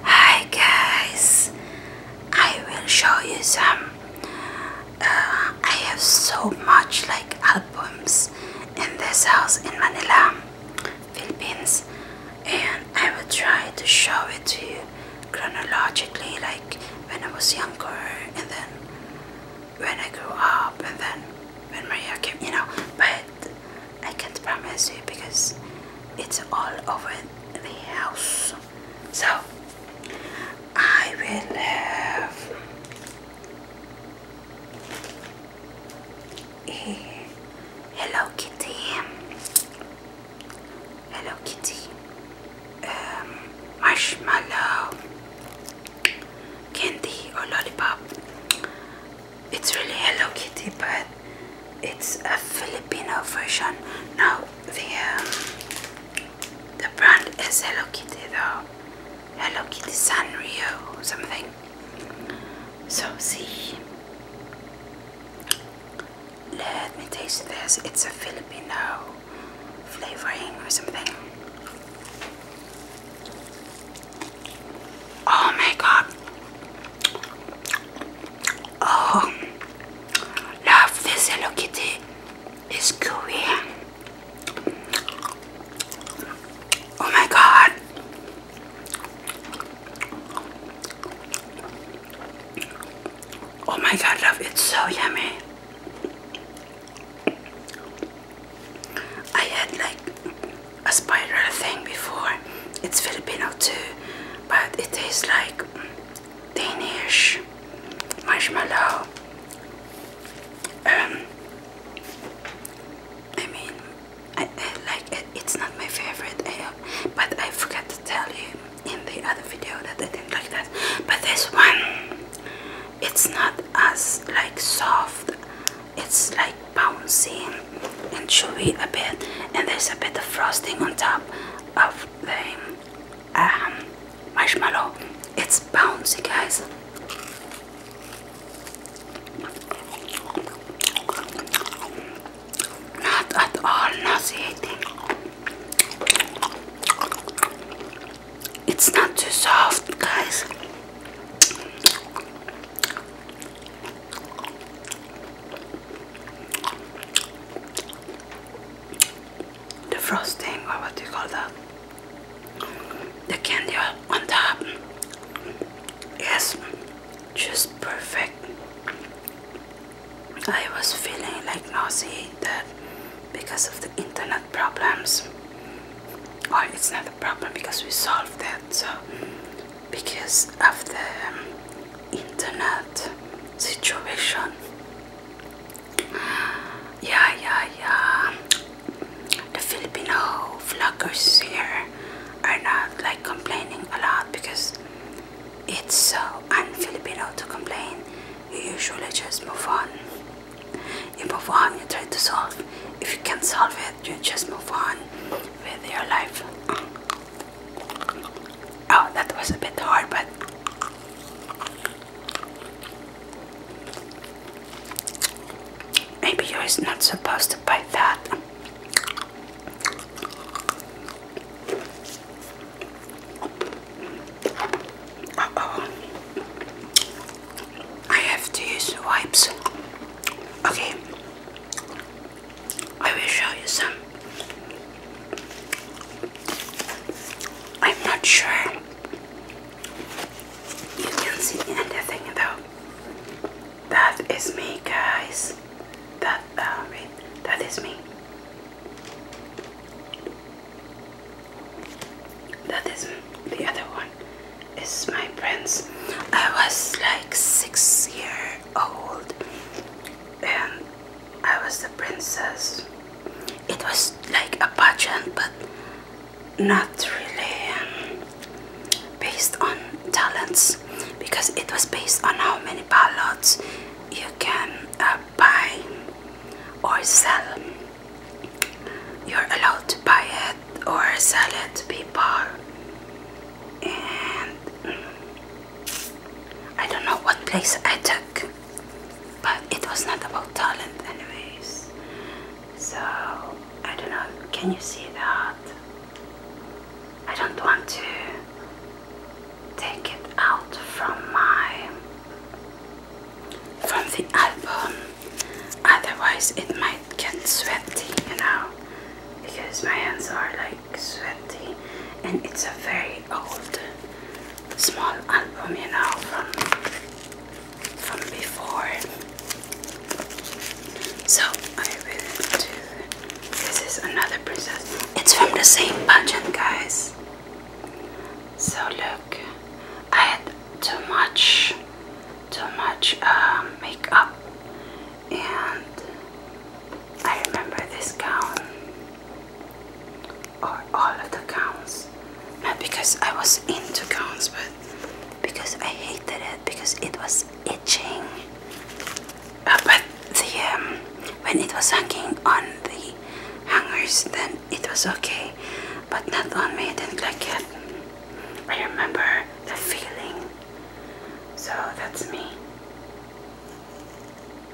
Hi guys, I will show you some. Uh, I have so much like albums in this house in Manila, Philippines, and I will try to show it to you chronologically, like when I was younger, and then when I grew up, and then when Maria came, you know. But I can't promise you because it's all over the house. So I will have Hello Kitty. Hello Kitty. Um, marshmallow candy or lollipop it's really Hello Kitty, but it's a Filipino version. Now the um, the brand is Hello Kitty though. Hello Kitty Sanrio or something. So see, let me taste this. It's a Filipino flavoring or something. Oh my god, Oh, love this Hello Kitty is Korean. Oh my god. Oh my god, love, it's so yummy. I had like a spiral thing before. It's Filipino too, but it tastes like Danish marshmallow. Um, I mean, I, like it. It's not my favorite, but I forgot to tell you in the other video that I didn't like that. But this one, it's not as like soft. It's like bouncing and chewy a bit, and there's a bit of frosting on top of the um, marshmallow. It's bouncy, guys. Not at all nauseating. It's not too soft, guys the frosting or what do you call that the candy on top Yes, just perfect I was feeling like nauseated because of the internet problems or it's not a problem because we solved that so because of the um, internet situation. Yeah, yeah, yeah. The Filipino vloggers here are not like complaining a lot because it's so unFilipino to complain. You usually just move on. You move on, you try to solve. If you can't solve it, you just move on with your life. Oh, that was a bit hard, but maybe you're not supposed to buy that. oh. I have to use wipes. Okay. I will show you some. I'm not sure you can see anything though. That is me, guys. That uh, that is me. That is the other one. Is my prince. I was like six years old and I was the princess. It was like a pageant but not really um, based on talents because it was based on how many ballots you can uh, buy or sell. You're allowed to buy it or sell it to people. Mm, I don't know what place I took, but it was not about talent, anyways. So I don't know. Can you see that? I don't want to take it out from my from the album, otherwise it might get sweaty, you know, because my hands are like sweaty, and it's a very old, small album, you know, from from before. So I will do. This is another princess. It's from the same budget, guys. So look, I had too much, too much uh, makeup and I remember this gown or all of the gowns not because I was into gowns but because I hated it because it was itching uh, but the um, when it was hanging on the hangers then it was okay but not on me I didn't like it I remember the feeling so that's me.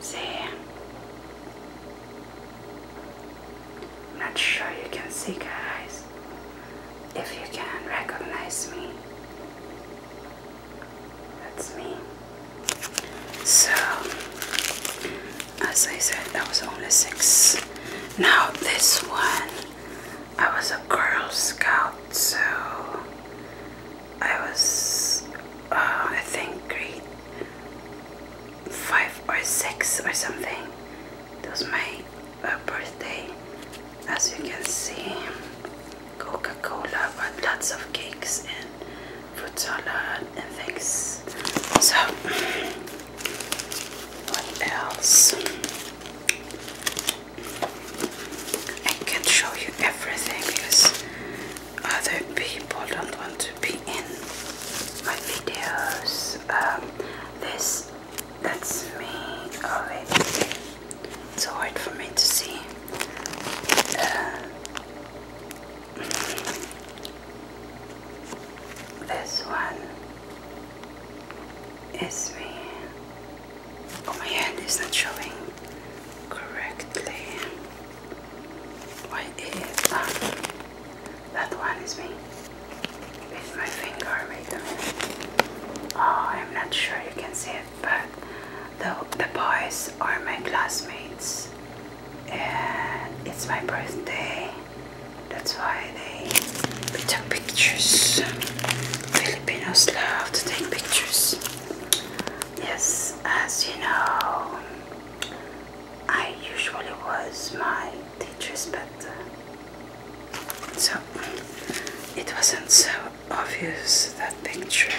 See? I'm not sure you can see, guys, if you can recognize me. That's me. So, as I said, that was only six. Now, this one I was a Girl Scout, so I was, uh, I think, grade five or six or something. It was my uh, birthday, as you can see. Coca-Cola, but lots of cakes and fruit salad and things. So, what else? I can't show you everything because other people don't want to be in my videos. Um, this, that's me. Oh wait, it's hard for me to see. Uh, this one is me. Oh, my hand is not showing correctly. Why is um, that one is me with my finger? Wait a Oh, I'm not sure you can see it, but the the boys are my classmates, and it's my birthday. That's why they we took pictures. Filipinos love to take pictures. Yes, as you know, I usually was my teacher's pet. So it wasn't so obvious that picture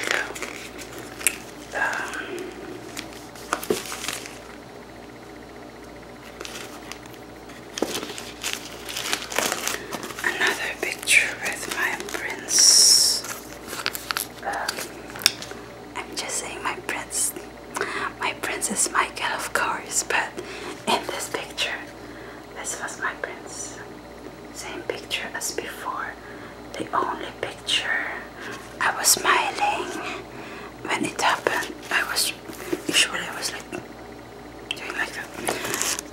though. Um, Another picture with my prince. Um, I'm just saying my prince. My prince is Michael, of course, but in this picture, this was my prince. Same picture as before. The only picture I was smiling when it happened. I was sure I was like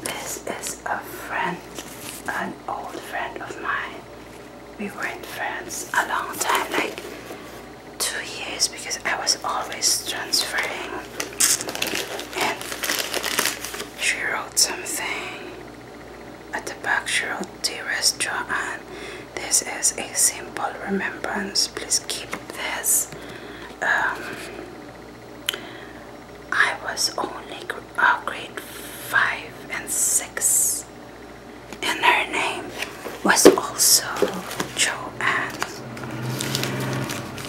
this is a friend, an old friend of mine. We were in France a long time, like two years, because I was always transferring. And she wrote something at the back. She wrote, "Dearest Joanne, this is a simple remembrance. Please keep this." Um, I was only uh, grade 5 and 6. And her name was also Joanne.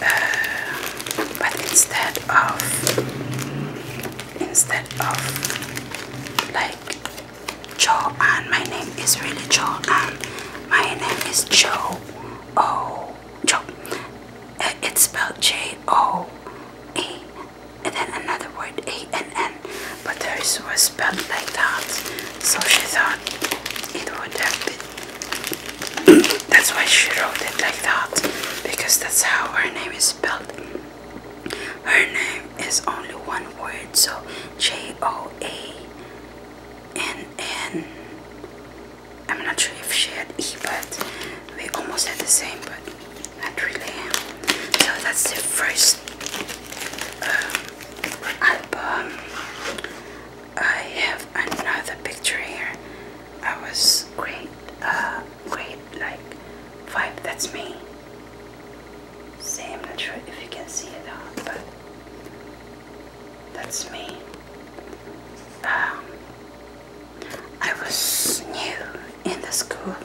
Uh, but instead of, instead of like Joanne, my name is really Joanne. My name is Joe. Oh, Joe. It's spelled J O E and then another word A N N, but hers was spelled like that, so she thought it would have that's why she wrote it like that, because that's how her name is spelled. Her name is only one word, so J O A N N I'm not sure if she had E, but we almost had the same, but not really. So that's the first uh, album. I have another picture here. I was great, uh, great, like five. That's me. See, not sure if you can see it all, but that's me. Um, I was new in the school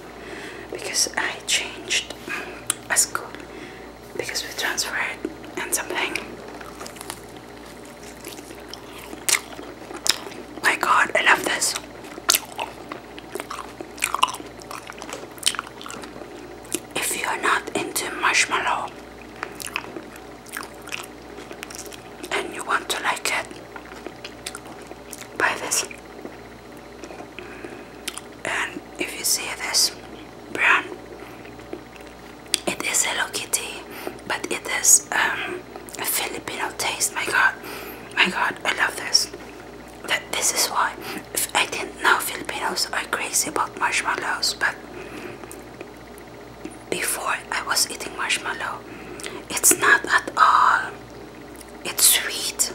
because I changed mm, a school because we transferred and something. My god, I love this. If you are not into marshmallow, and you want to like it, buy this. And if you see this brown, it is Hello Kitty, but it is um, a Filipino taste. My God, my God, I love this. That this is why I didn't know Filipinos are crazy about marshmallows, but before I was eating marshmallow. It's not at all. It's sweet,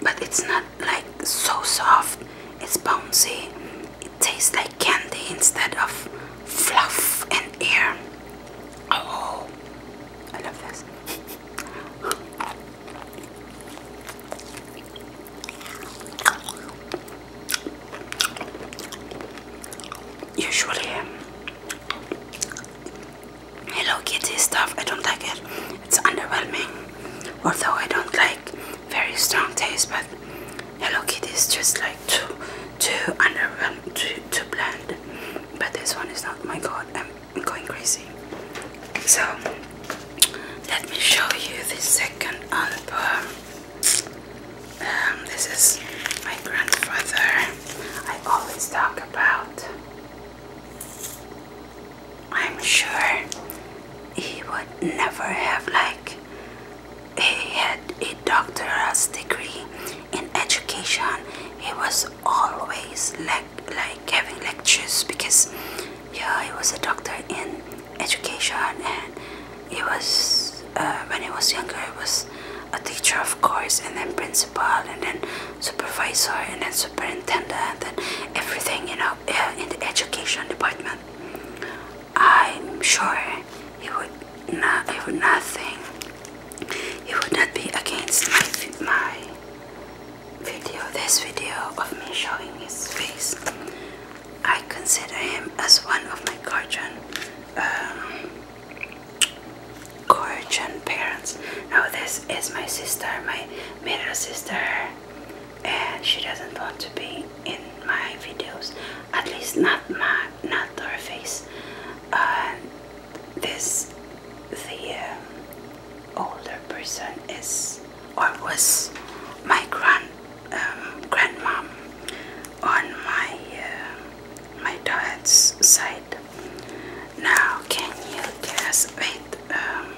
but it's not like so soft. It's bouncy. It tastes like candy instead of fluff and air. Oh, I love this. Usually, Hello um, Kitty stuff, I don't like it. It's underwhelming. Although I don't like very strong taste, but Hello Kitty is just like too, too underwhelming, too, bland. But this one is not. My God, I'm, I'm going crazy. So let me show you the second album. Um, this is my grandfather. I always talk about. I'm sure he would never have like he had a doctor's degree in education. He was always like like having lectures because yeah he was a doctor in education and he was uh, when he was younger he was a teacher of course and then principal and then supervisor and then superintendent and then everything you know uh, in the education department i'm sure he would not he would nothing he would not be against my video this video of me showing his face I consider him as one of my guardian, um, parents. Now this is my sister, my middle sister, and she doesn't want to be in my videos, at least not my, not her face. Uh, this, the um, older person is or was my grand um, on my uh, my dad's side. Now, can you guess? Wait, um,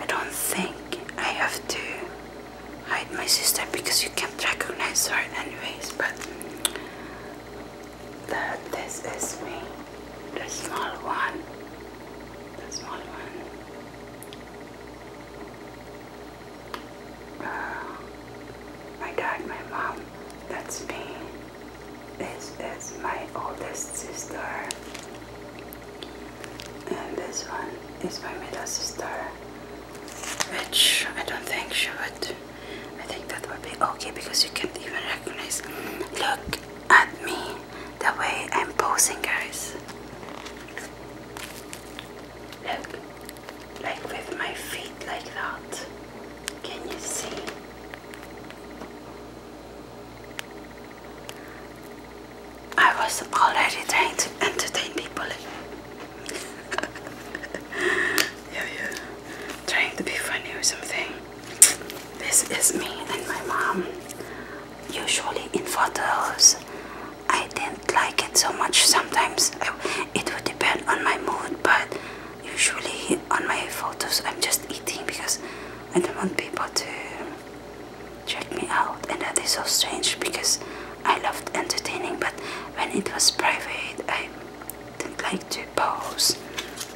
I don't think I have to hide my sister because you can't recognize her anyways. But this is me, the small one, the small one. my dad, my mom, that's me. This is my oldest sister. And this one is my middle sister. Which I don't think she would. I think that would be okay because you can't even recognize. Look at me, the way I'm posing, guys. Look, like with my feet like that. Can you see? I was already trying entertain people. yeah, yeah. Trying to be funny or something. This is me and my mom. Usually in photos, I didn't like it so much. Sometimes it would depend on my mood, but usually on my photos I'm just eating because I don't want people to check me out, and that is so strange because I loved entertaining, but when it was private, I didn't like to pose.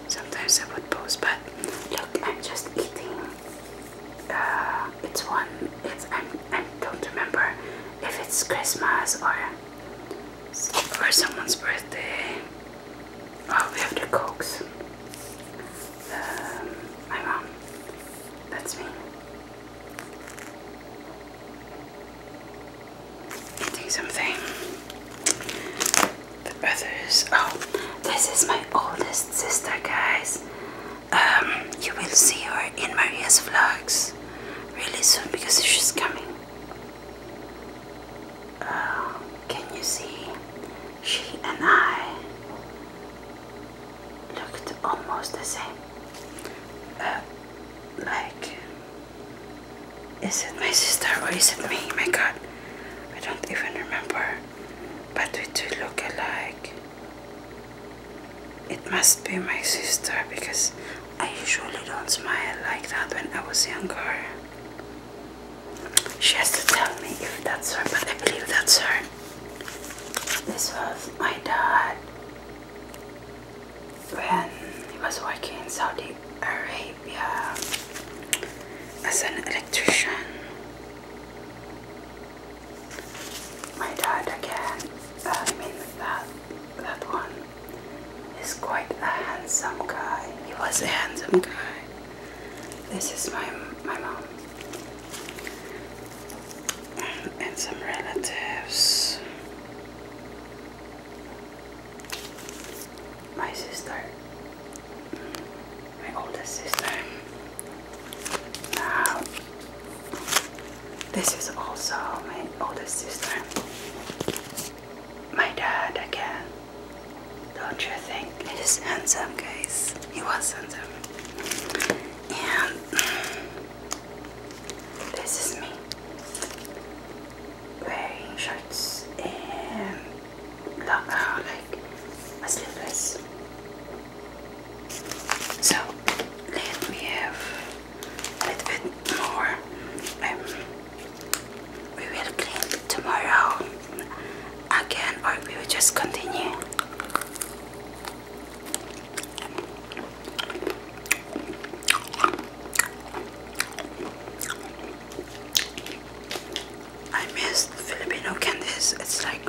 Sometimes I would pose, but look, I'm just eating. Uh, it's one. It's I. I don't remember if it's Christmas or or someone's birthday. Oh, we have to cook. Um, my mom. That's me. Eating something. The others. Oh, this is my oldest sister, guys um, you will see her in Maria's vlogs really soon because she's coming. Uh, can you see? She and I looked almost the same. Uh, like, is it my sister or is it me? My god, I don't even remember. But we do look alike. It must be my sister because I usually don't smile like that when I was younger. She has to tell me if that's her, but I believe that's her. This was my dad when he was working in Saudi Arabia as an electrician. My dad again, uh, I mean that, that one, is quite a handsome guy. He was a handsome guy. This is my, my mom. And some relatives. My sister. My oldest sister. Now, this is also my older sister. My dad again. Don't you think? It is handsome, guys. He was handsome. Yeah. this is me wearing shorts and black, uh, like a sleeveless so let me have a bit more. Um, we will clean tomorrow again, or we will just continue. I miss Filipino candies. It's like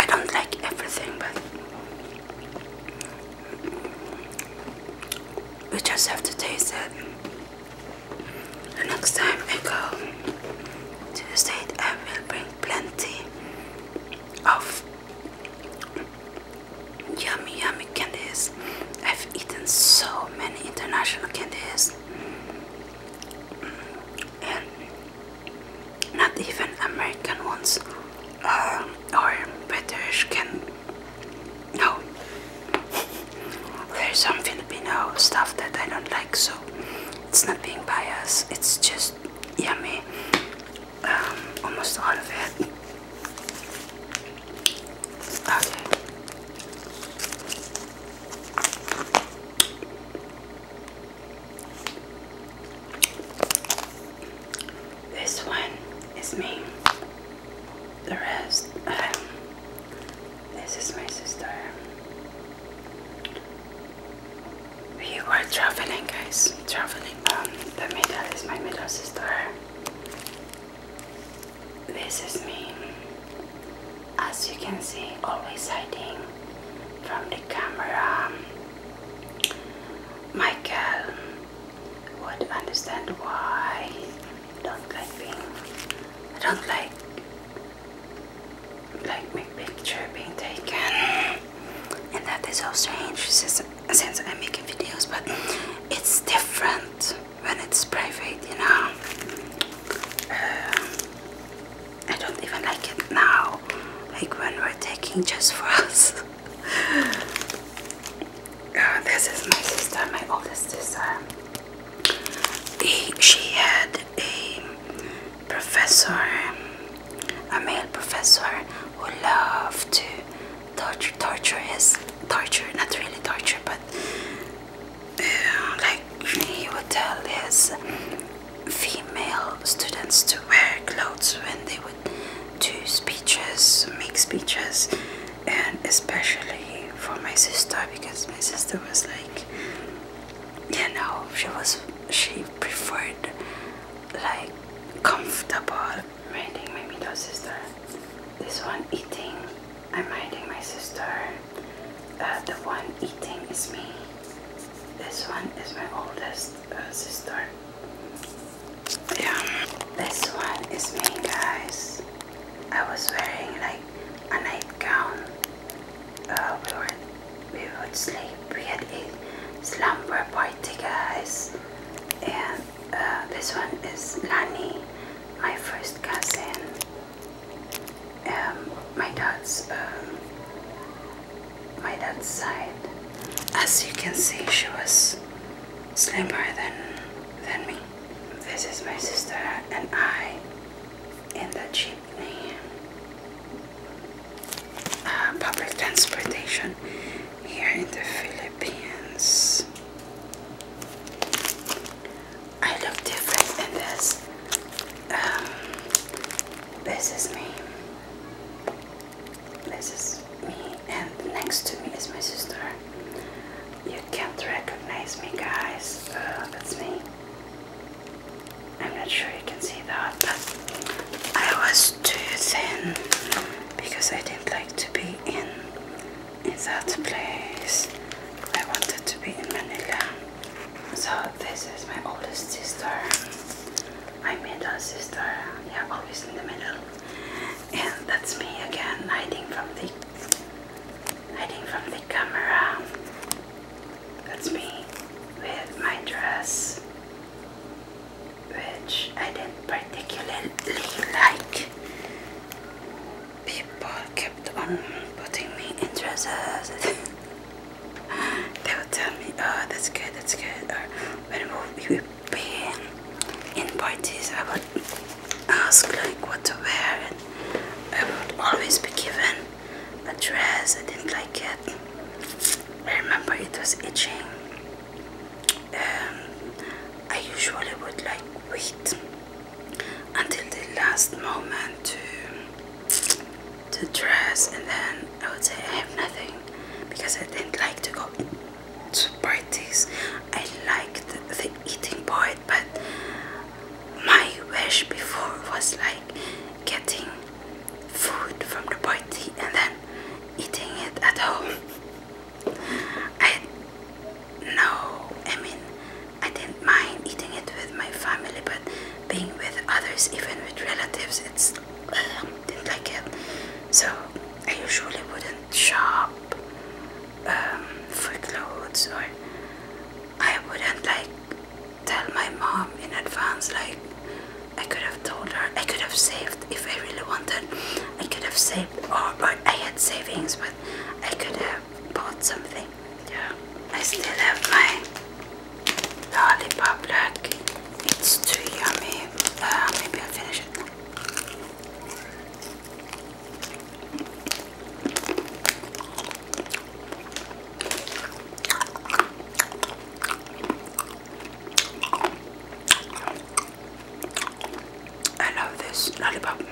I don't like everything, but we just have to taste it. The next time I go to the state, I will bring plenty of yummy, yummy candies. I've eaten so many international candies, not even American ones uh, or British can. No. There's some Filipino stuff that I don't like, so it's not being biased, it's just yummy. Um, almost all of it. Okay. This one is me. The rest, um, this is my sister. We were traveling, guys. Traveling. Um, the middle is my middle sister. This is me. As you can see, always hiding from the camera. Michael would understand why I don't like being I don't like like my picture being taken and that is so strange since, since I'm making videos but it's different when it's private you know um, I don't even like it now like when we're taking just for us uh, this is my sister, my oldest sister. she had a professor, a male professor who loved to torture, torture his torture, not really torture, but uh, like he would tell his female students to wear clothes when they would do speeches, make speeches, and especially for my sister because my sister was like, you know, she was she preferred like comfortable. Minding my middle sister, this one eating, I'm minding my sister. Uh, the one eating is me. This one is my oldest uh, sister yeah this one is me guys I was wearing like a nightgown uh, we were we would sleep we had a slumber party guys and uh, this one is Lani my first cousin um, my dad's um, my dad's side. As you can see, she was slimmer than, than me. This is my sister and I in the cheap Uh, public transportation here in the Philippines. I look different in this. Um, this is me. This is me, and next to me is my sister. You can't recognize me, guys. Uh, that's me. I'm not sure you can see that, but I was too thin because I didn't like to be in in that place. I wanted to be in Manila. So this is my oldest sister my middle sister, yeah, always in the middle. And that's me again, hiding from the hiding from the camera. That's me with my dress, which I didn't particularly like. People kept on putting me in dresses. they would tell me, oh, that's good, that's good. Or when we would be in parties, I would ask like what to wear, and I would always be given a dress. I didn't like it. I remember it was itching. Um, I usually would like wait until the last moment to to dress and then I would say I have nothing because I didn't like to go to parties. I liked the eating part but my wish before was like getting food from the party and then eating it at home. I no, I mean I didn't mind eating it with my family but being with others even with relatives it's didn't like it. So I usually wouldn't shop um, for clothes or I wouldn't like tell my mom in advance like I could have told her I could have saved if I really wanted I could have saved or, or I had savings but I could have bought something yeah I still have my Lollipop It's too yummy. Uh, maybe I'll finish it I love this lollipop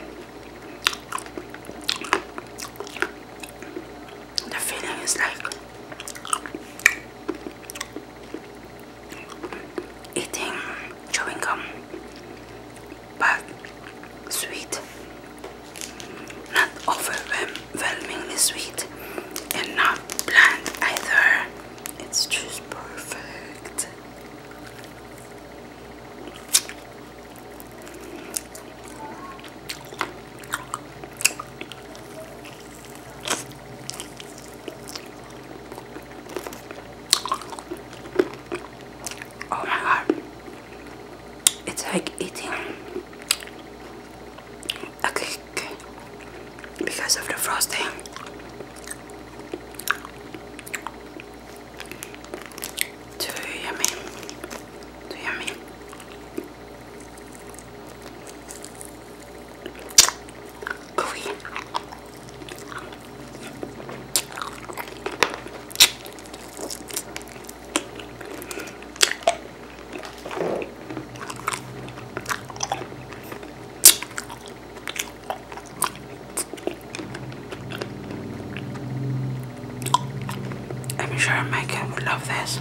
the feeling is like eating chewing gum but sweet not overwhelmingly sweet and not bland either it's just perfect Oh my god. It's like eating a cake because of the frosting. Too yummy. Too yummy. Korean. I'm sure Micah would love this.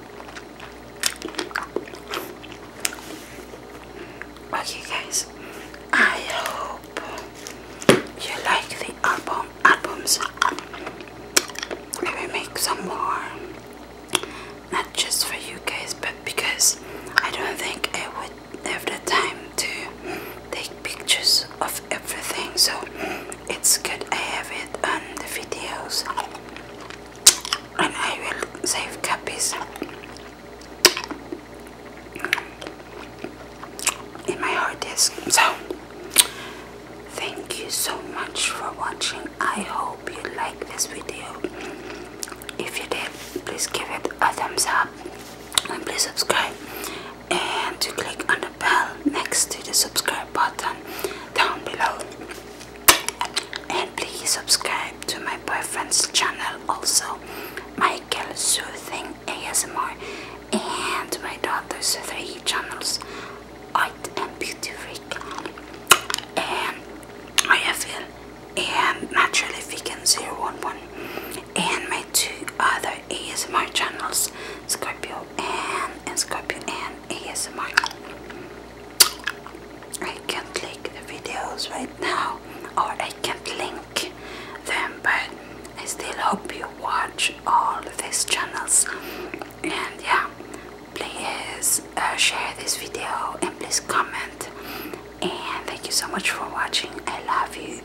Okay guys, I hope you like the album albums. Let me make some more. Not just for you guys but because I don't think I would have the time to take pictures of everything so it's good I have it on the videos and I will save copies in my hard disk so thank you so much for watching I hope you like this video if you did please give it a thumbs up and please subscribe and to click on bell next to the subscribe button down below. And please subscribe to my boyfriend's channel also, Michael Soothing ASMR, and my daughter's three channels, Art and Beauty Freak, and Ayafil, and Naturally Vegan 011, and my two other ASMR channels, Scorpio and, and Scorpio and an ASMR. I can't link the videos right now or I can't link them but I still hope you watch all these channels and yeah please uh, share this video and please comment and thank you so much for watching I love you